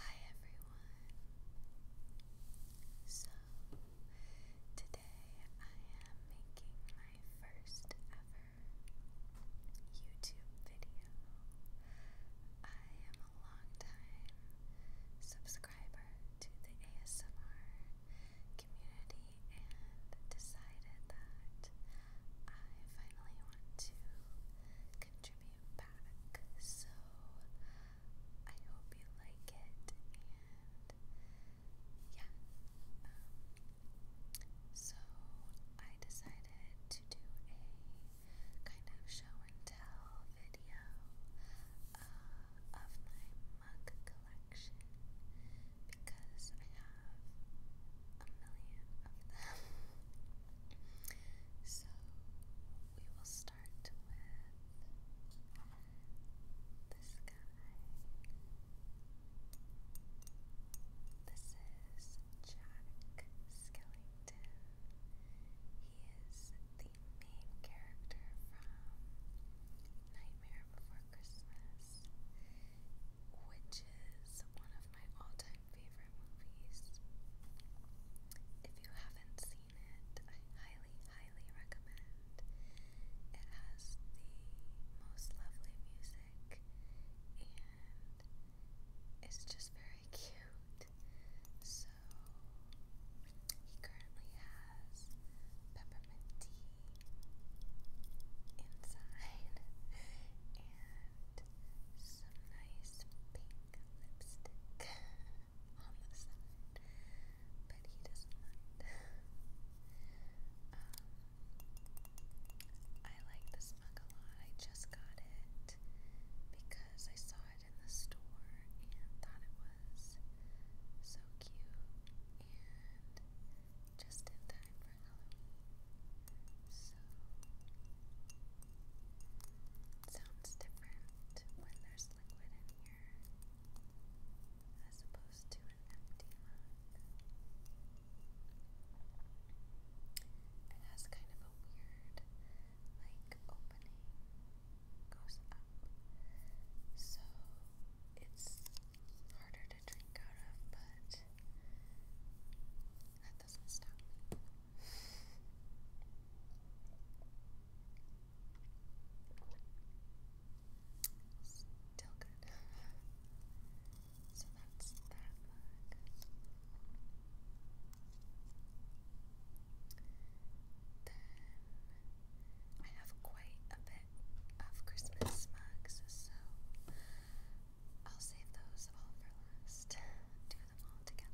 Hi everyone. So today I am making my first ever YouTube video. I am a long time subscriber to the ASMR community and decided that I finally want to contribute back. So I hope you like it, and yeah. Um, so I decided to do a kind of show and tell video of my mug collection because I have a million so we will start with this guy. This is Jack Skellington. He is the main character from Nightmare Before Christmas, which is one of my all time favorite movies. If you haven't seen it, I highly, highly recommend. It has the most lovely music and it's just very cute. So, he currently has peppermint tea inside and some nice lipstick on the side, but he doesn't I like this mug a lot. I just got it because I saw it in the store and thought it was so cute and just in time for Halloween. So it sounds different when there's liquid in here as opposed to an empty It has kind of a weird like opening goes up. So it's harder to drink out of, but that does Still good. so that's that I have quite a bit of Christmas mugs, so I'll save those all for last do them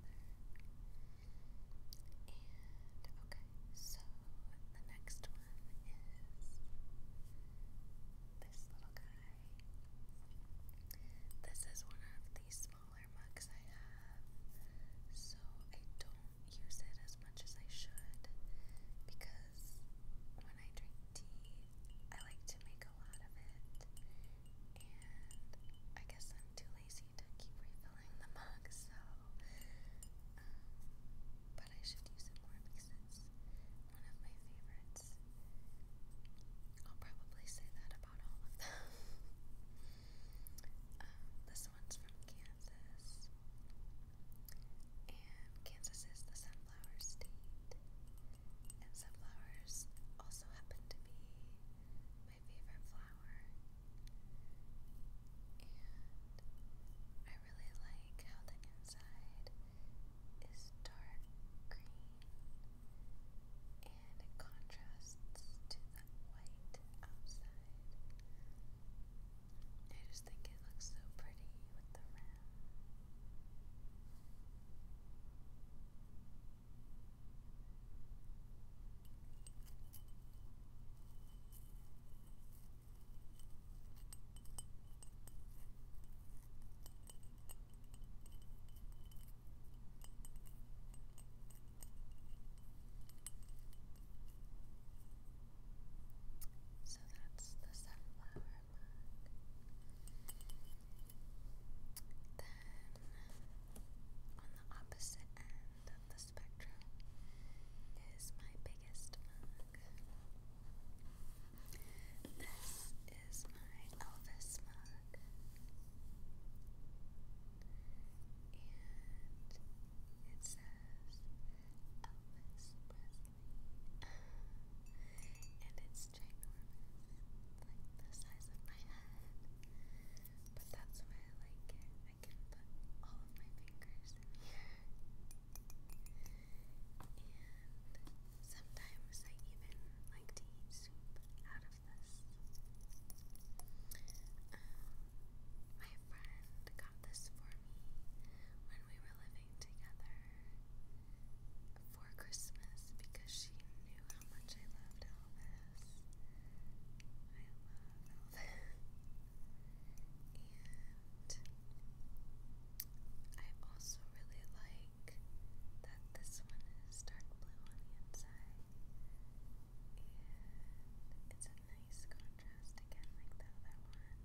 This is one of the smaller mugs I have, so I don't use it as much as I should because when I drink tea, I like to make a lot of it. And I guess I'm too lazy to keep refilling the mug, so. Um, but I should use it more because it's one of my favorites. I'll probably say that about all of them. um, this one's from Kansas. And Kansas is the sunflower state and sunflowers also happen to be my favorite flower. And I really like how the inside is dark green and contrasts to the white outside. I just think it looks so pretty with the rim. So that's the sunflower mug. Then, on the opposite end of the spectrum, is my biggest mug. This is my Elvis mug. And it says Elvis Presley. and it's it's ginormous, like the size of my head. But that's why I like it. I can put all of my fingers in here. And sometimes I even like to eat soup out of this. my friend got this for me when we were living together for Christmas because she knew how much I loved Elvis. I love Elvis. and I also really like that this one is dark blue on the inside. And it's a nice contrast again, like the other one.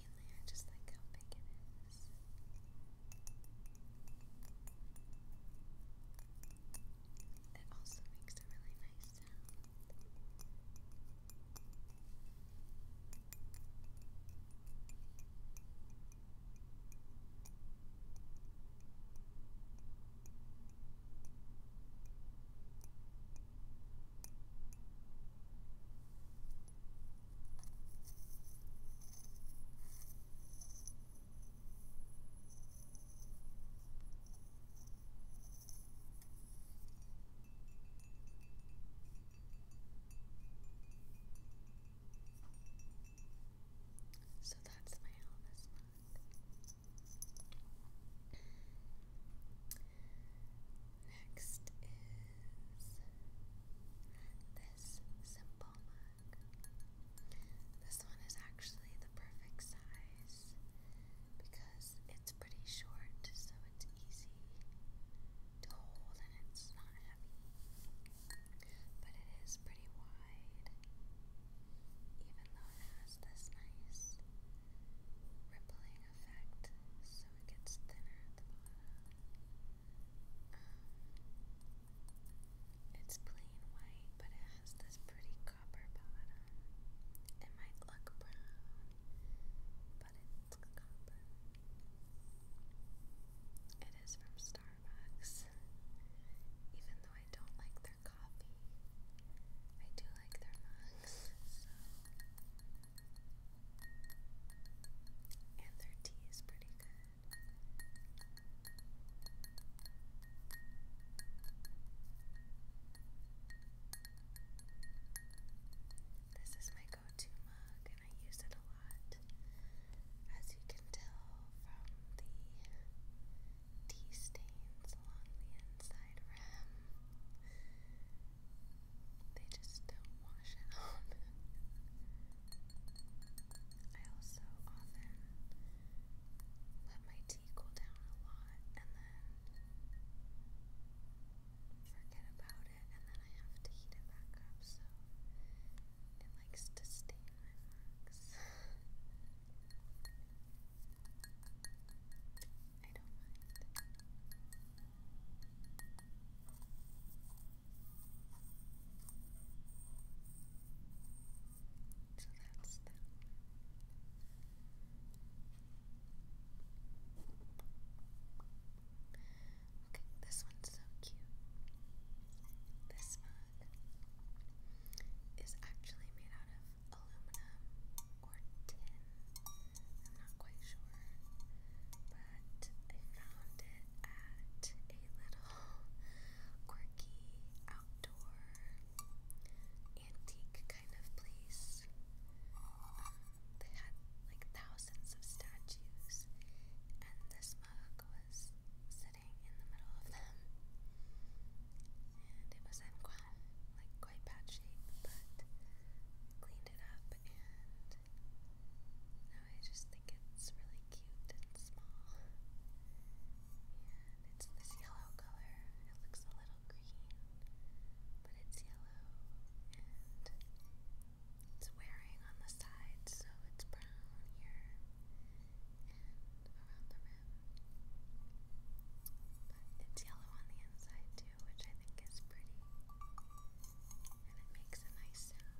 Mainly, I just like how big it is. It also makes a really nice sound. So that's my Elvis mug. Next is this simple mug. This one is actually the perfect size because it's pretty short, so it's easy to hold and it's not heavy. But it is pretty wide, even though it has this nice rippling effect, so it gets thinner at the bottom. Um, it's plain white, but it has this pretty copper bottom. It might look brown, but it's copper. It is from Starbucks, even though I don't like their coffee. I do like and their tea is pretty good. This is my go-to mug, and I use it a lot. As you can tell from the tea stains along the inside rim, they just don't wash it off. I also often let my tea cool down a lot and then forget about it and then I have to heat it back up so it likes to stain my marks. I don't mind. So that's that. Okay, this one's so cute. This mug is actually made out of aluminum or tin. I'm not quite sure. But I found it at a little quirky outdoor antique kind of place. Um, they had like thousands of statues, and this mug was sitting in the middle of them. And it was in like White bad shape, but cleaned it up and now I just think it's really cute and small. And it's this yellow color. It looks a little green, but it's yellow and it's wearing on the side, so it's brown here and around the rim. It's yellow on the inside too, which I think is pretty. And it makes a nice sound.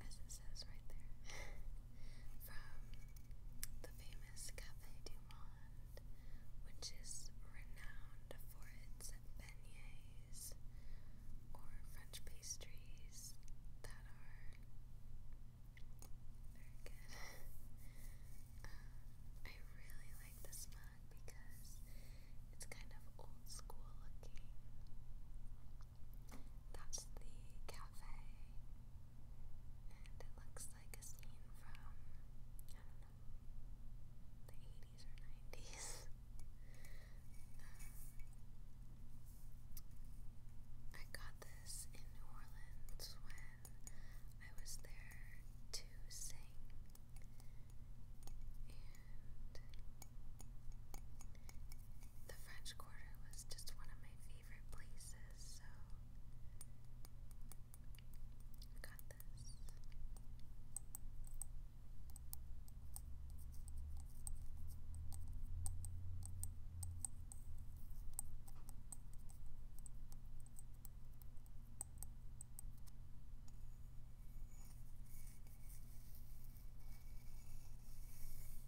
as it says right there, from the famous Cafe du Monde, which is renowned for its beignets or French pastries that are very good. um, I really like this mug because it's kind of old school looking. That's the cafe. And it looks like a scene from, I don't know, the 80s or 90s. I got this in New Orleans when I was there to sing. And the French Quarter was just one of my favorite places, so got this.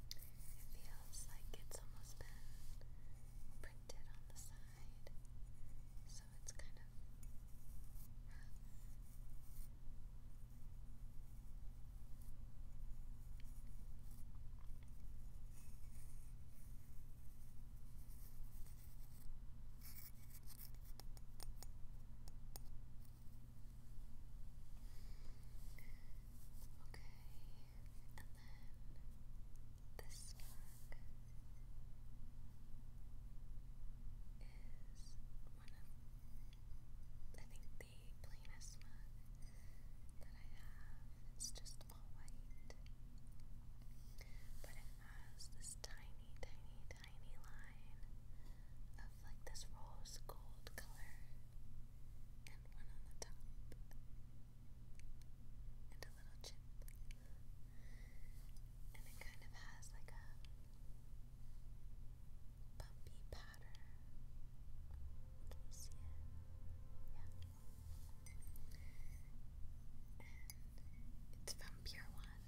It feels like it's almost been printed on the side, so it's kind of Okay, and then this mug is one of, I think, the plainest mug that I have. It's just all white, but it has this tiny, tiny, tiny line of like this rose gold color and one on the top and a little chip and it kind of has like a bumpy pattern can you see it? yeah and it's from Pure One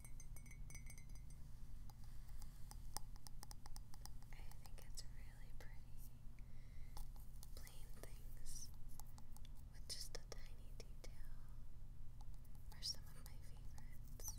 I think it's really pretty. Plain things with just a tiny detail are some of my favorites.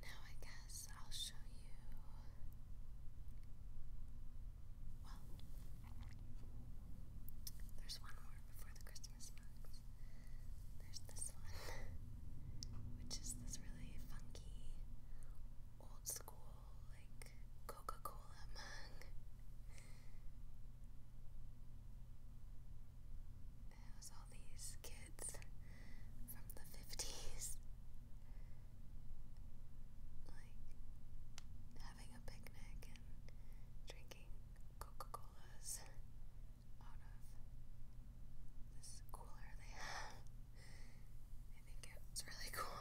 Now, I guess I'll show you. Well, there's one more before the Christmas box. There's this one, which is this really funky, old school like Coca-Cola It was all these kids from the 50s like having a picnic and drinking Coca-Colas out of this cooler they have. I think it's really cool.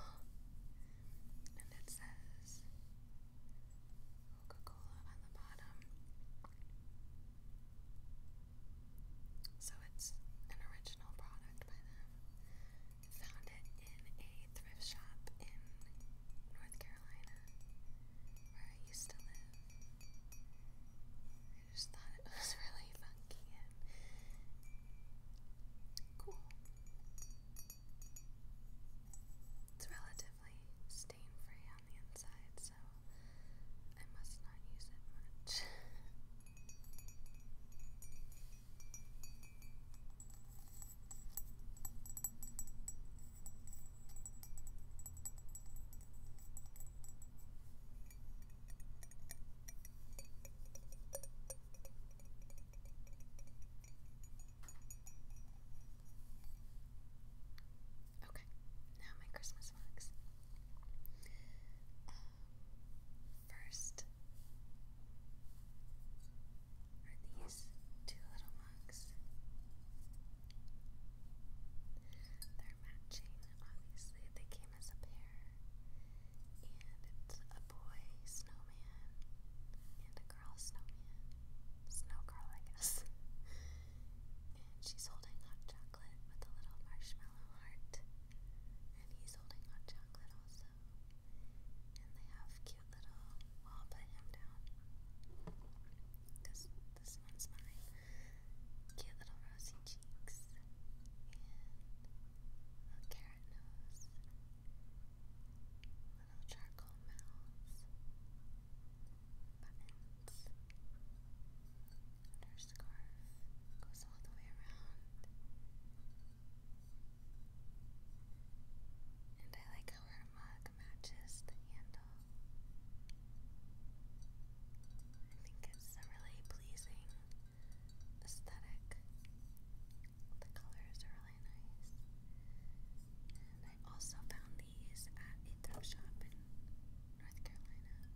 And it says Coca Cola on the bottom. So it's an original product by them. Found it in a thrift shop in North Carolina where I used to live. I just thought it was really funky and cool. It's relatively stain free on the inside, so I must not use it much. Okay, now my Christmas vlogs. Um, first are these two little mugs. They're matching, obviously. They came name a bear, and it's a boy snowman and a girl snowman. Snow girl, I guess. and she's holding hot chocolate with a little marshmallow heart, and he's holding hot chocolate also. And they have cute little. Well, put him down. This this one's mine. Cute little rosy cheeks a carrot nose, little charcoal mouths, buttons, and goes all the way around. And I like how her mug matches the handle. I think it's really pleasing aesthetic. The colors are really nice. I also found these at a thrift shop in North Carolina.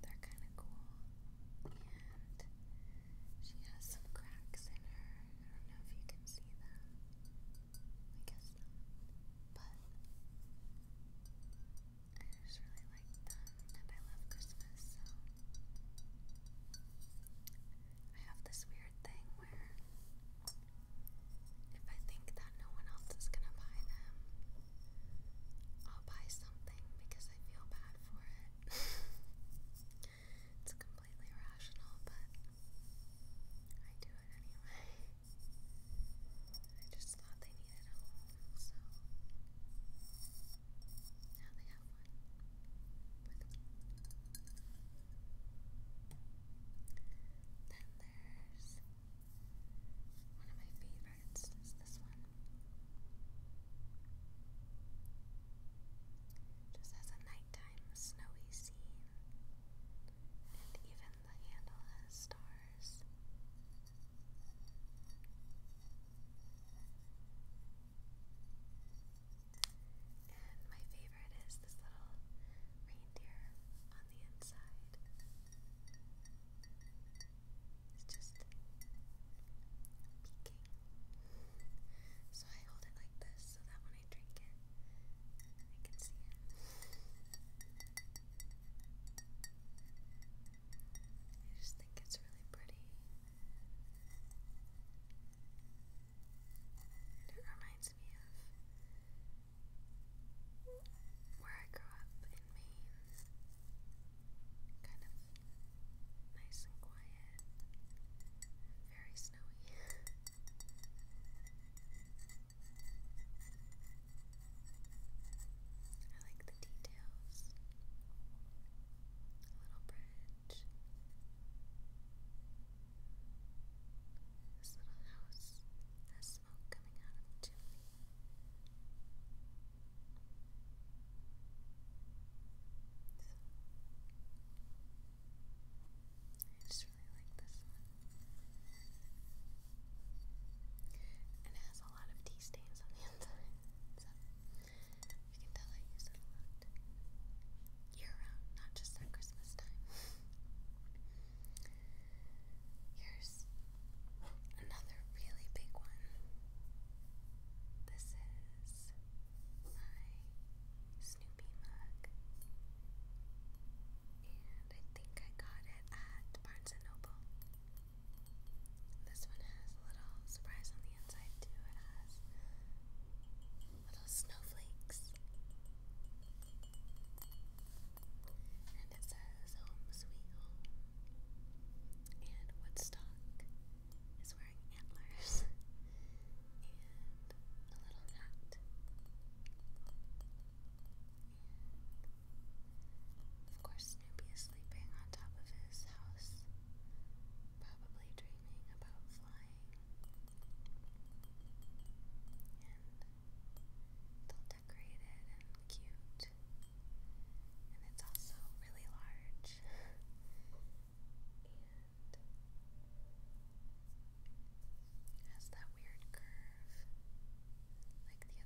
They're kind of cool. And she has some cracks in her. I don't know if you can see them. I guess not. But I just really like them, and I love Christmas, so I have this weird thing where if I think that no one else is gonna buy them, I'll buy something because I feel bad for it. it's completely irrational, but I do it anyway. I just thought they TV at now they have one with Then there's um, one of my favorites is this one. Just has a nighttime snowy scene. And even the handle has stars. And my favorite is this little reindeer on the inside. It's just peeking. So I hold it like this so that when I drink it, I can see it. I just think it's really pretty. it reminds me of where I grew up in Maine. Kind of nice and quiet, very snowy. I like the details. A little bridge. This little house has smoke coming out of the chimney. I just really like this one. And it has a lot of tea stains on the inside. So you can tell I use it a lot. Year round, not just at Christmas time. Here's another really big one. This is my Snoopy mug. And I think I got it at Barnes and Noble. This one has a little surprise on the inside too. It has little snowflakes. And it says home sweet home. And Woodstock is wearing antlers and a little hat. Of course, Snoopy is sleeping on top of his house, probably dreaming about flying. it's decorated and cute. And it's also really large. and has that weird curve, like the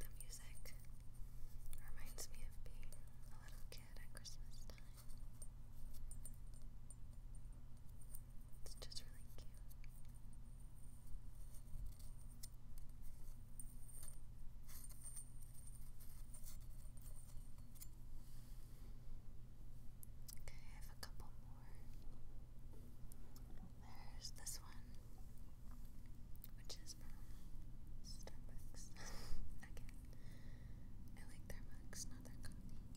The music reminds me of being a little kid at Christmas time. It's just really cute. Okay, I have a couple more. There's this one which is from Starbucks again. I like their mugs, not their coffee.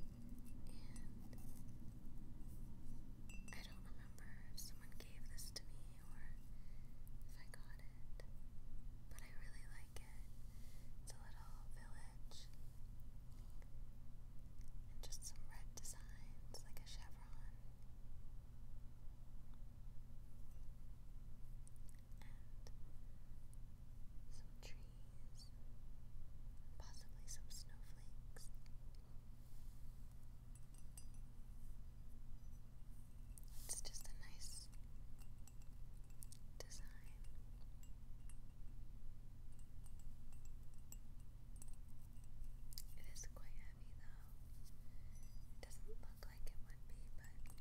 And I don't remember if someone gave this to me or if I got it, but I really like it. It's a little village and just some red designs like a chevron and some trees, possibly some snowflakes. It's just a nice design. It is quite heavy though. doesn't look like it would be, but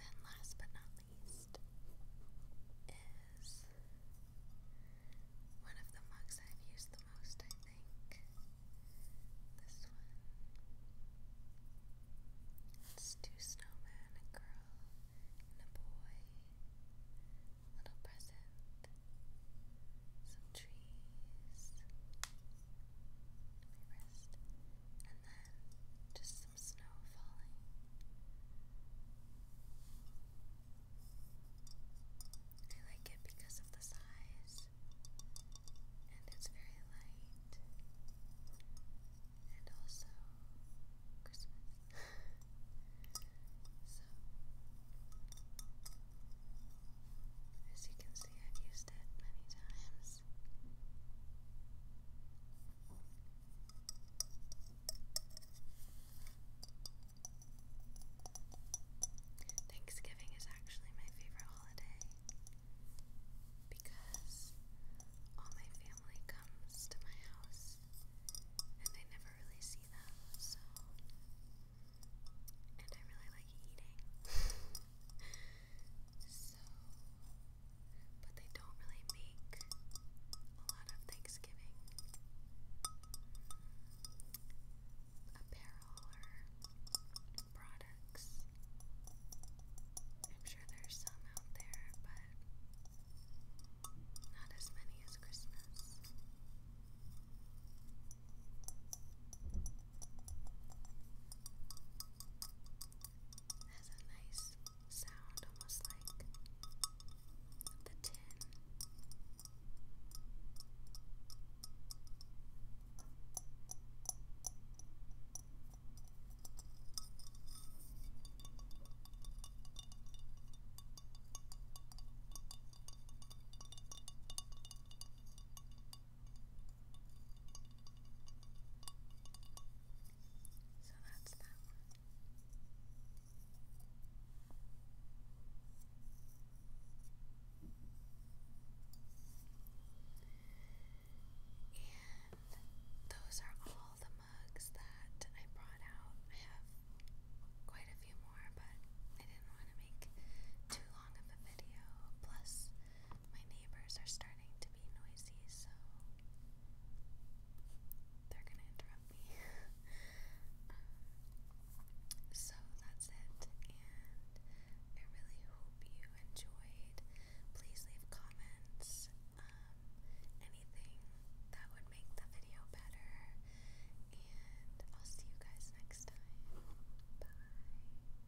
then, last but not least, is one of the mugs I've used the most, I think. This one. two snowmen, a girl and a boy. Little present. Some trees. My wrist. And then just some snow falling. I like it because of the size, and it's very light, and also Christmas. so, as you can see, I've used it many times. Thanksgiving is actually my favorite holiday because all my family comes to my house and I never really see them, so. And I really like eating. So, but they don't really make a lot of Thanksgiving apparel or products. I'm sure there's some out there, but not as many as Christmas has a nice sound, almost like the tin. So that's that one. And those are all the mugs that I brought out. I have quite a few more, but I didn't want to make too long of a video. Plus, my neighbors are starting to be noisy, so they're gonna interrupt me. so that's it, and I really hope you enjoyed. Please leave comments, um, anything that would make the video better, and I'll see you guys next time. Bye.